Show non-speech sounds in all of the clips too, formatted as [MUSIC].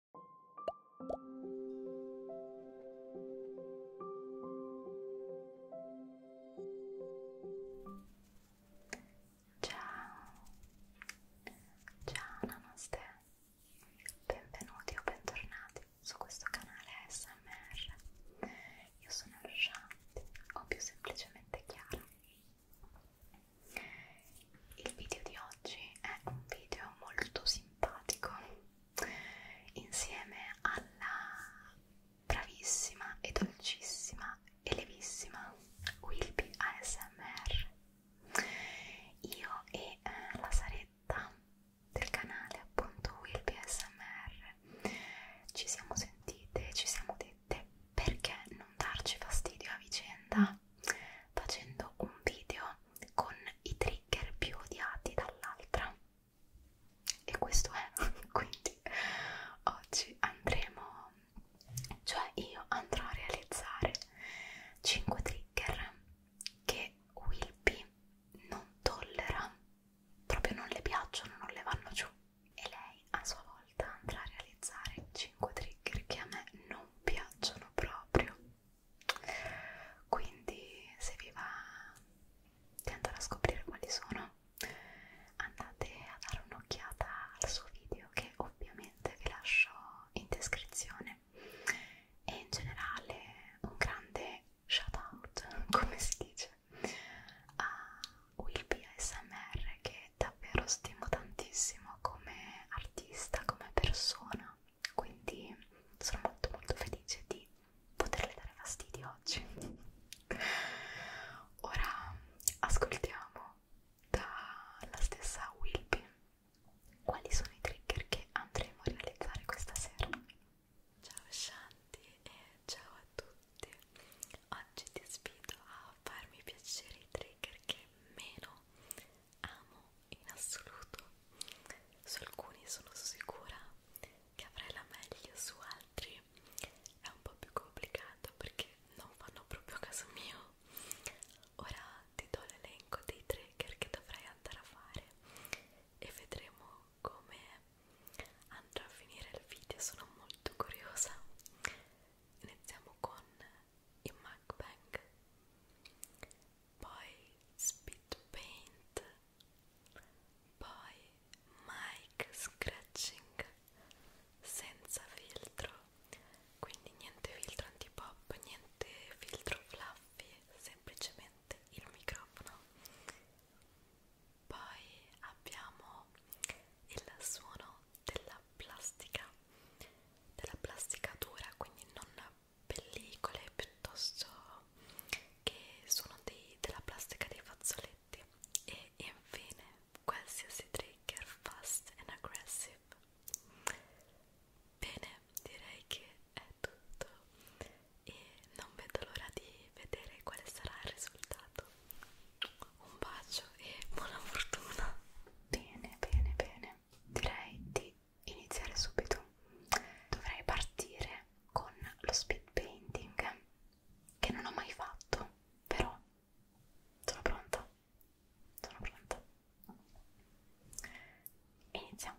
Ciao, ciao namaste, benvenuti o bentornati su questo canale ASMR. Io sono Shanti, o più semplicemente Chiara il video di oggi è un video molto simpatico insieme alla bravissima e dolcissima e levissima Wilby ASMR. Io e eh, la saretta del canale appunto Wilby ASMR ci siamo sentite, ci siamo dette perché non darci fastidio a vicenda facendo un video con i trigger più odiati dall'altra e questo è [LAUGHS] quindi oggi andremo cioè io andrò a realizzare 5 trigger che Wilby non tollera proprio non le piacciono non le vanno giù e lei a sua volta andrà a realizzare 5 trigger che a me non piacciono proprio quindi se vi va di andare a scoprire quali sono andate a dare un'occhiata al suo video che ovviamente vi lascio in descrizione e in generale un grande shout out [LAUGHS] come si dice a Wilby ASMR che davvero stimo tantissimo come artista, come persona quindi sono molto molto felice di poterle dare fastidio oggi. [LAUGHS] Ora ascoltiamo dalla stessa Wilby quali sono i trigger che andremo a realizzare questa sera. Ciao Shanti e ciao a tutti. Oggi ti sfido a farmi piacere i trigger che meno amo in assoluto. Su alcuni sono sicura che avrai la meglio, su altri è un po' più complicato perché non fanno proprio caso mio. Ora ti do l'elenco dei trigger che dovrai andare a fare e vedremo come andrà a finire il video. Sono molto curiosa. Iniziamo con in MacBank poi Speed Paint poi Mic Scratching senza filtro quindi niente filtro antipop, niente filtro fluffy semplicemente il microfono poi abbiamo il suono della plastica della plastica dura quindi non pellicole piuttosto che sono dei, della plastica dei fazzoletti e infine qualsiasi trigger fast and aggressive bene direi che è tutto e non vedo l'ora di vedere quale sarà il risultato un bacio e buona fortuna bene bene bene bene, direi di iniziare subito. Dovrei partire con lo speed painting che non ho mai fatto, però sono pronta. Sono pronta. Iniziamo.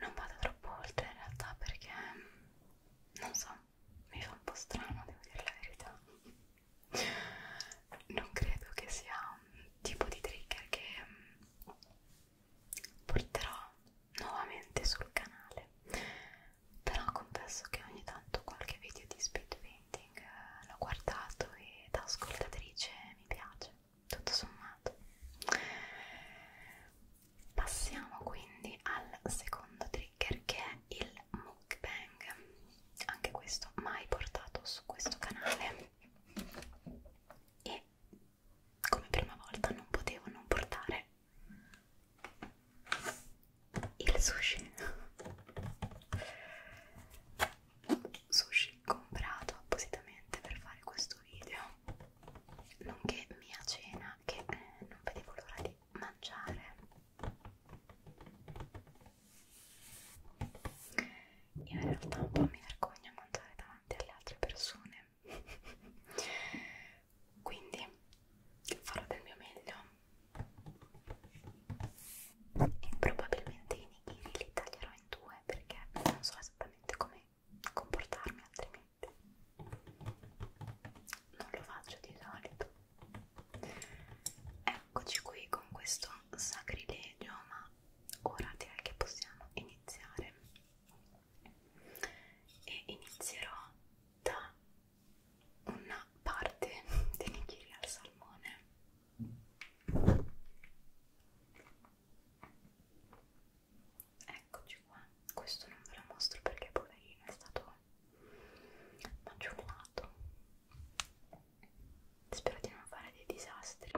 Non vado troppo oltre in realtà perché non so, mi fa un po' strano, devo dire la verità. Non credo che sia un tipo di trigger che porterò nuovamente sul canale però confesso che ogni tanto qualche video di speed painting eh, l'ho guardato e da ascoltatrice mi piace, tutto sommato. Passiamo quindi al secondo trigger che è il mukbang, anche questo mai portato su questo canale e come prima volta non potevo non portare il sushi sushi comprato appositamente per fare questo video nonché mia cena che eh, non vedevo l'ora di mangiare io in realtà un po' mi vergogno a mangiare davanti alle altre persone [LAUGHS] quindi farò del mio meglio e probabilmente i nigiri li taglierò in due perché non so esattamente come comportarmi altrimenti non lo faccio di solito eccoci qui con questo sacrilegio ma ora direi che possiamo iniziare e inizierò da una parte di nigiri al salmone eccoci qua questo non ve lo mostro perché poverino è stato maggiornato spero di non fare dei disastri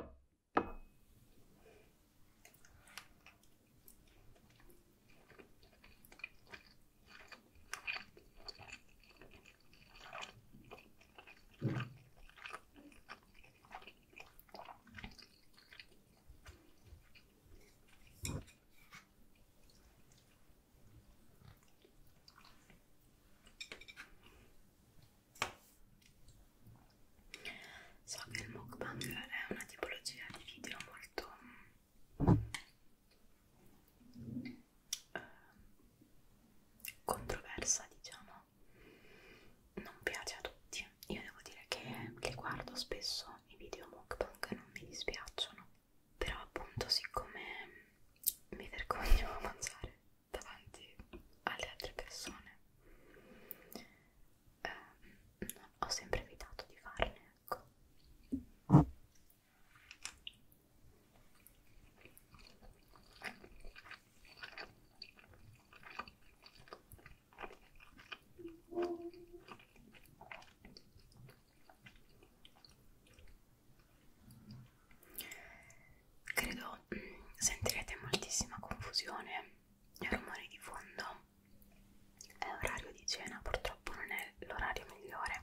So che il mukbang è una tipologia di video molto controversa diciamo non piace a tutti io devo dire che le guardo spesso i video mukbang non mi dispiacciono però appunto siccome mi vergogno a mangiare davanti alle altre persone eh, ho sempre evitato di farne ecco Credo mm, sentirete moltissima confusione e rumori di fondo. È orario di cena, purtroppo non è l'orario migliore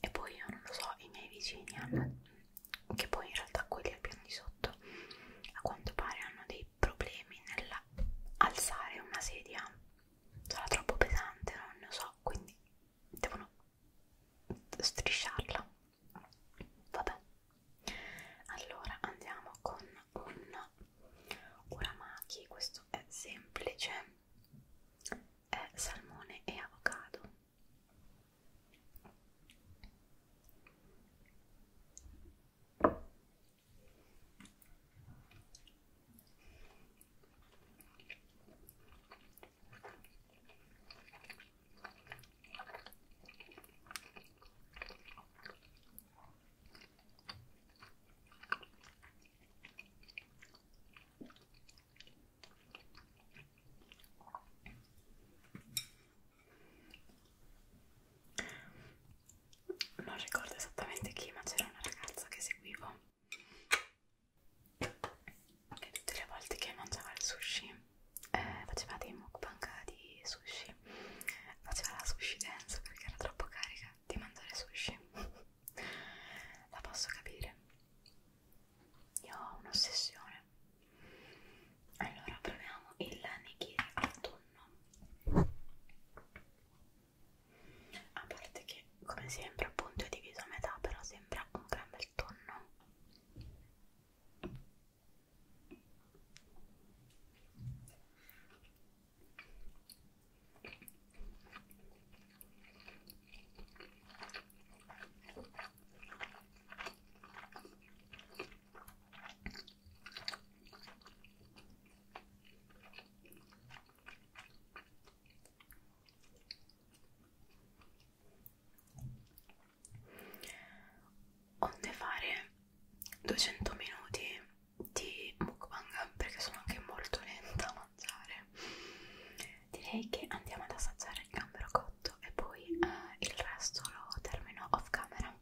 e poi io non lo so i miei vicini hanno che poi in realtà quelli al piano di sotto a quanto pare hanno dei problemi nell'alzare una sedia sarà troppo pesante non lo so quindi devono strisciarla vabbè allora andiamo con un uramaki questo è semplice è salmone e avocado non ricordo esattamente chi, ma c'era una ragazza che seguivo che tutte le volte che mangiava il sushi eh, faceva dei mukbang di sushi, faceva la sushi dance perché era troppo carica di mangiare sushi la posso capire io ho un'ossessione allora proviamo il nigiri al tonno a parte che come sempre appunto è diviso a metà però sembra un gran bel tonno Onde fare 200 minuti di mukbang perché sono anche molto lenta a mangiare direi che andiamo ad assaggiare il gambero cotto e poi eh, il resto lo termino off camera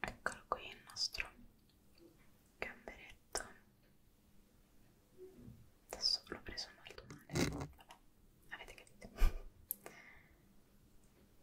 eccolo qui il nostro gamberetto adesso l'ho preso molto male vabbè avete capito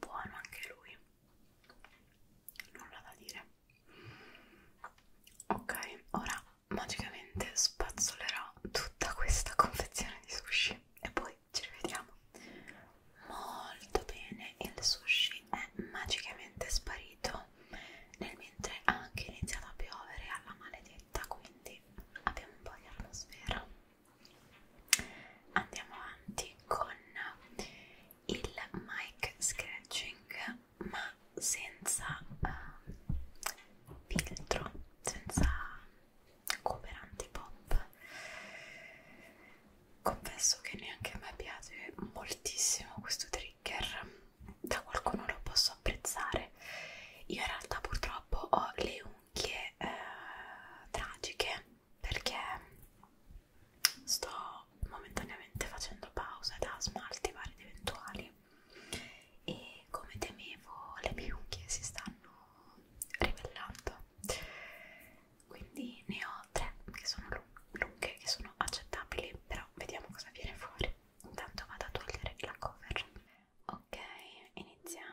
buono anche lui nulla da dire ok ora magicamente spazzolerò tutta questa confezione di sushi e poi ci rivediamo molto bene il sushi è magicamente sparito nel mentre ha anche iniziato a piovere alla maledetta quindi abbiamo un po' di atmosfera andiamo avanti con il mic scratching ma senza uh, filtro senza cooperante pop confesso che neanche a me piace moltissimo questo trigger da qualcuno lo posso apprezzare io in realtà purtroppo ho le unghie anche eh, tragiche perché sto momentaneamente facendo pausa da smalti vari ed eventuali e come temevo le mie unghie si stanno ribellando quindi ne ho tre che sono lunghe che sono accettabili però vediamo cosa viene fuori intanto vado a togliere la cover ok iniziamo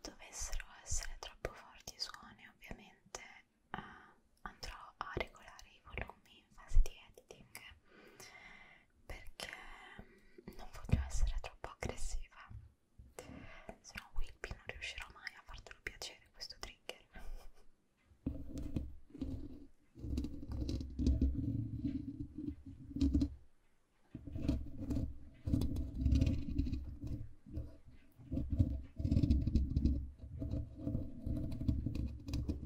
dovessero essere troppo forti i suoni ovviamente eh, andrò a regolare i volumi in fase di editing perché non voglio essere troppo aggressiva se no Wilby non riuscirò mai a fartelo piacere questo trigger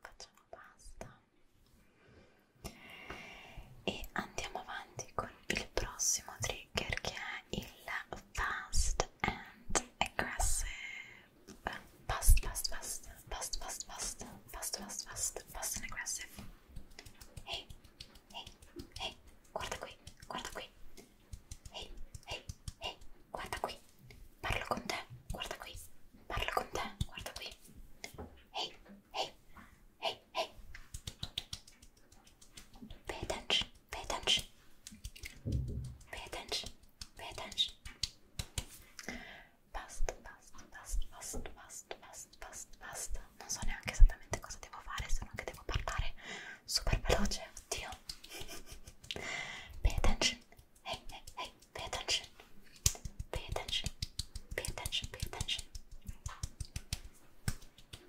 facciamo basta e andiamo avanti con il prossimo trigger che è il fast and aggressive fast fast fast fast fast fast fast fast fast fast and aggressive ehi hey, hey, ehi hey, guarda qui guarda qui ehi hey, hey, hey, guarda qui Parlo con te, guarda qui. Parlo con te, guarda qui. Ehi, ehi, ehi, ehi. Pay attention, pay attention. Pay attention, pay attention. Basta, basta, basta, basta, basta, basta, basta, basta. Non so neanche esattamente cosa devo fare, se non che devo parlare super veloce, oddio. pay [LAUGHS] attention, Hey, hey, hey, pay attention. Pay attention. Pay attention. Pay attention.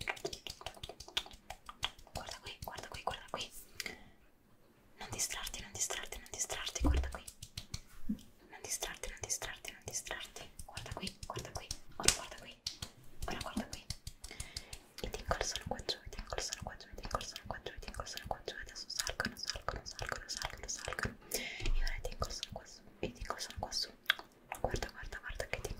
Guarda qui, guarda qui, guarda qui. Non distrarti, non distrarti, non distrarti, guarda qui. Non distrarti, non distrarti, non distrarti. Guarda qui, guarda qui. Ora guarda qui. Ora guarda qui. I tinkle sono qua giù, i tinkle sono qua cuatro tengo sono sono adesso e ora tengo su sono qua su guarda guarda guarda che tengo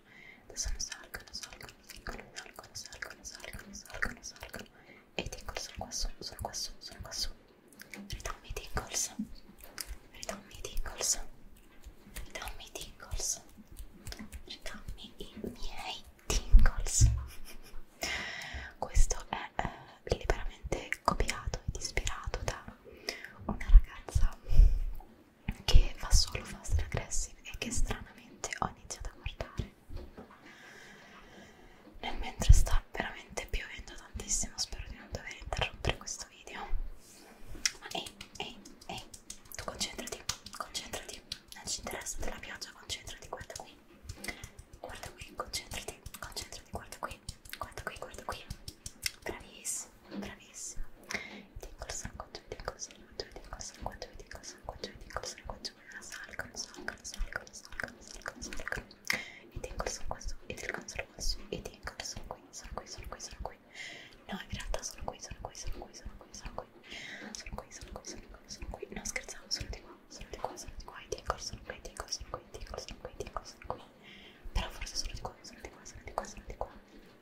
faccio adesso ne salgono, salgono, salgono, salgono, salgono, salgono, salgono, salgono e i tingles sono qua su, sono qua su, sono qua su ridammi i tingles ridammi i tingles ridammi i tingles ridammi i miei tingles questo è eh, liberamente copiato ed ispirato da una ragazza che fa solo fast aggressive e che stranamente ho iniziato a guardare nel mentre sta veramente piovendo tantissimo spero di non dover interrompere questo video ma ehi ehi ehi tu concentrati concentrati non ci interessa della pioggia concentrati guarda qui guarda qui concentrati concentrati guarda qui guarda qui guarda qui bravissimo bravissimo Dico il sangue, dico il sangue, dico il sangue, dico il sangue, dico il sangue, salgono, salgono, salgono, salgono, salgono, salgono. E tengo il sangue su, e tengo il sangue su, e tengo il sangue qui, sono qui, sono qui, sono qui. No, in realtà sono qui, sono qui, sono qui, sono qui, sono qui. Sono qui, sono qui, sono qui, sono qui. No, scherzavo, sono di qua, sono di qua, sono di qua, e tengo sono qui, tengo sono qui, tengo sono qui, tengo sono qui. Però forse sono di qua, sono di qua, sono di qua, sono di qua.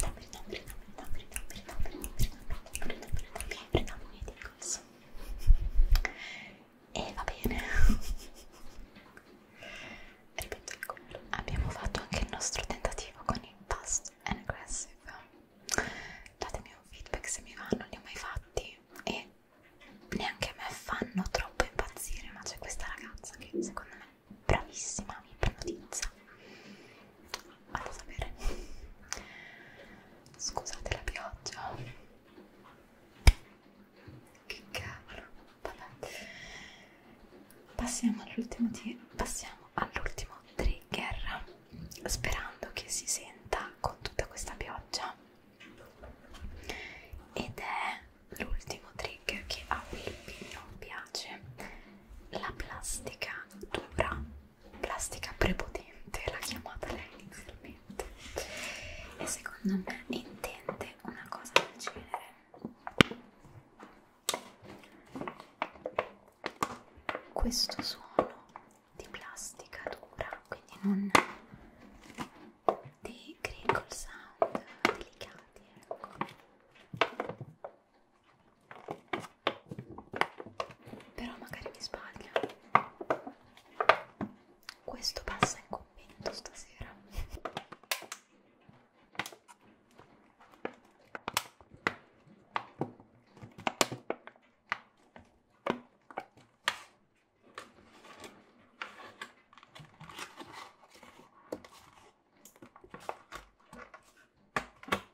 Dammi, dammi, dammi, dammi, dammi, dammi, dammi, dammi, ok, prendiamo un edicolso e va bene ripeto il colore abbiamo fatto anche il nostro tentativo con il Fast and Aggressive datemi un feedback se mi vanno, li ho mai fatti e neanche a me fanno troppo impazzire ma c'è questa ragazza che secondo me bravissima mi ipnotizza a non sapere scusate la pioggia che cavolo vabbè passiamo all'ultimo passiamo all'ultimo trigger sperando che si senta con tutta questa pioggia ed è l'ultimo trigger che a Wilby non piace la plastica dura, plastica prepotente l'ha chiamata lei inizialmente e secondo me intende una cosa del genere questo suono di plastica dura quindi non dei crinkle sound delicati ecco però magari mi sbaglio questo passa in commento stasera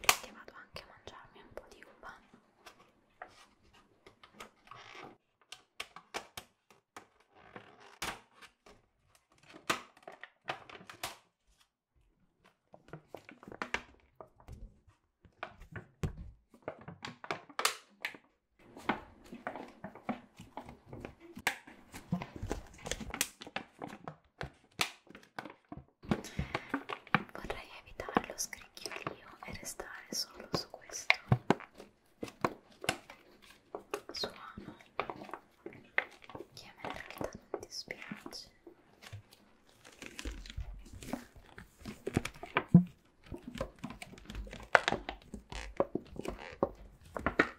perché vado anche a mangiarmi un po' di uva Vorrei evitare lo scricchiolio e restare solo su questo suono che a me in realtà non dispiace.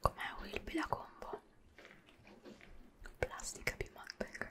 Com'è Wilby la combo? Plastica più mukbang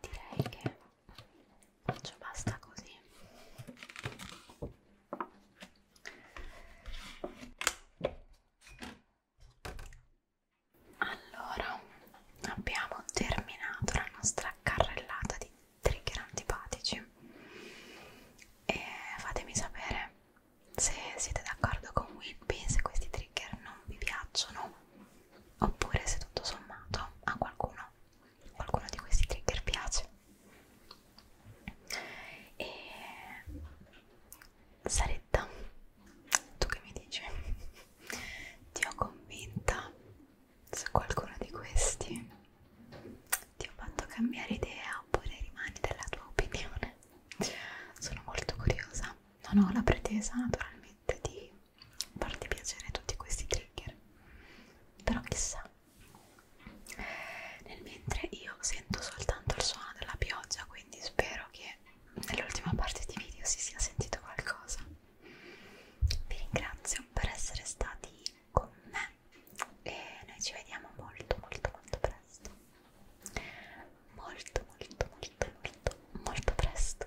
direi che ci basta così allora abbiamo terminato la nostra carrellata di trigger antipatici e fatemi sapere se siete d'accordo con Whippy se questi trigger non vi piacciono oppure se tutto sommato a qualcuno, qualcuno di questi trigger piace. E Saretta, tu che mi dici? Ti ho convinta su qualcuno di questi? Ti ho fatto cambiare idea oppure rimani della tua opinione? Sono molto curiosa, non ho la pretesa naturalmente di farti piacere tutti questi trigger però chissà nel mentre io sento soltanto il suono della pioggia quindi spero che nell'ultima parte di video si sia sentito qualcosa vi ringrazio per essere stati con me e noi ci vediamo molto molto molto presto molto molto molto molto molto presto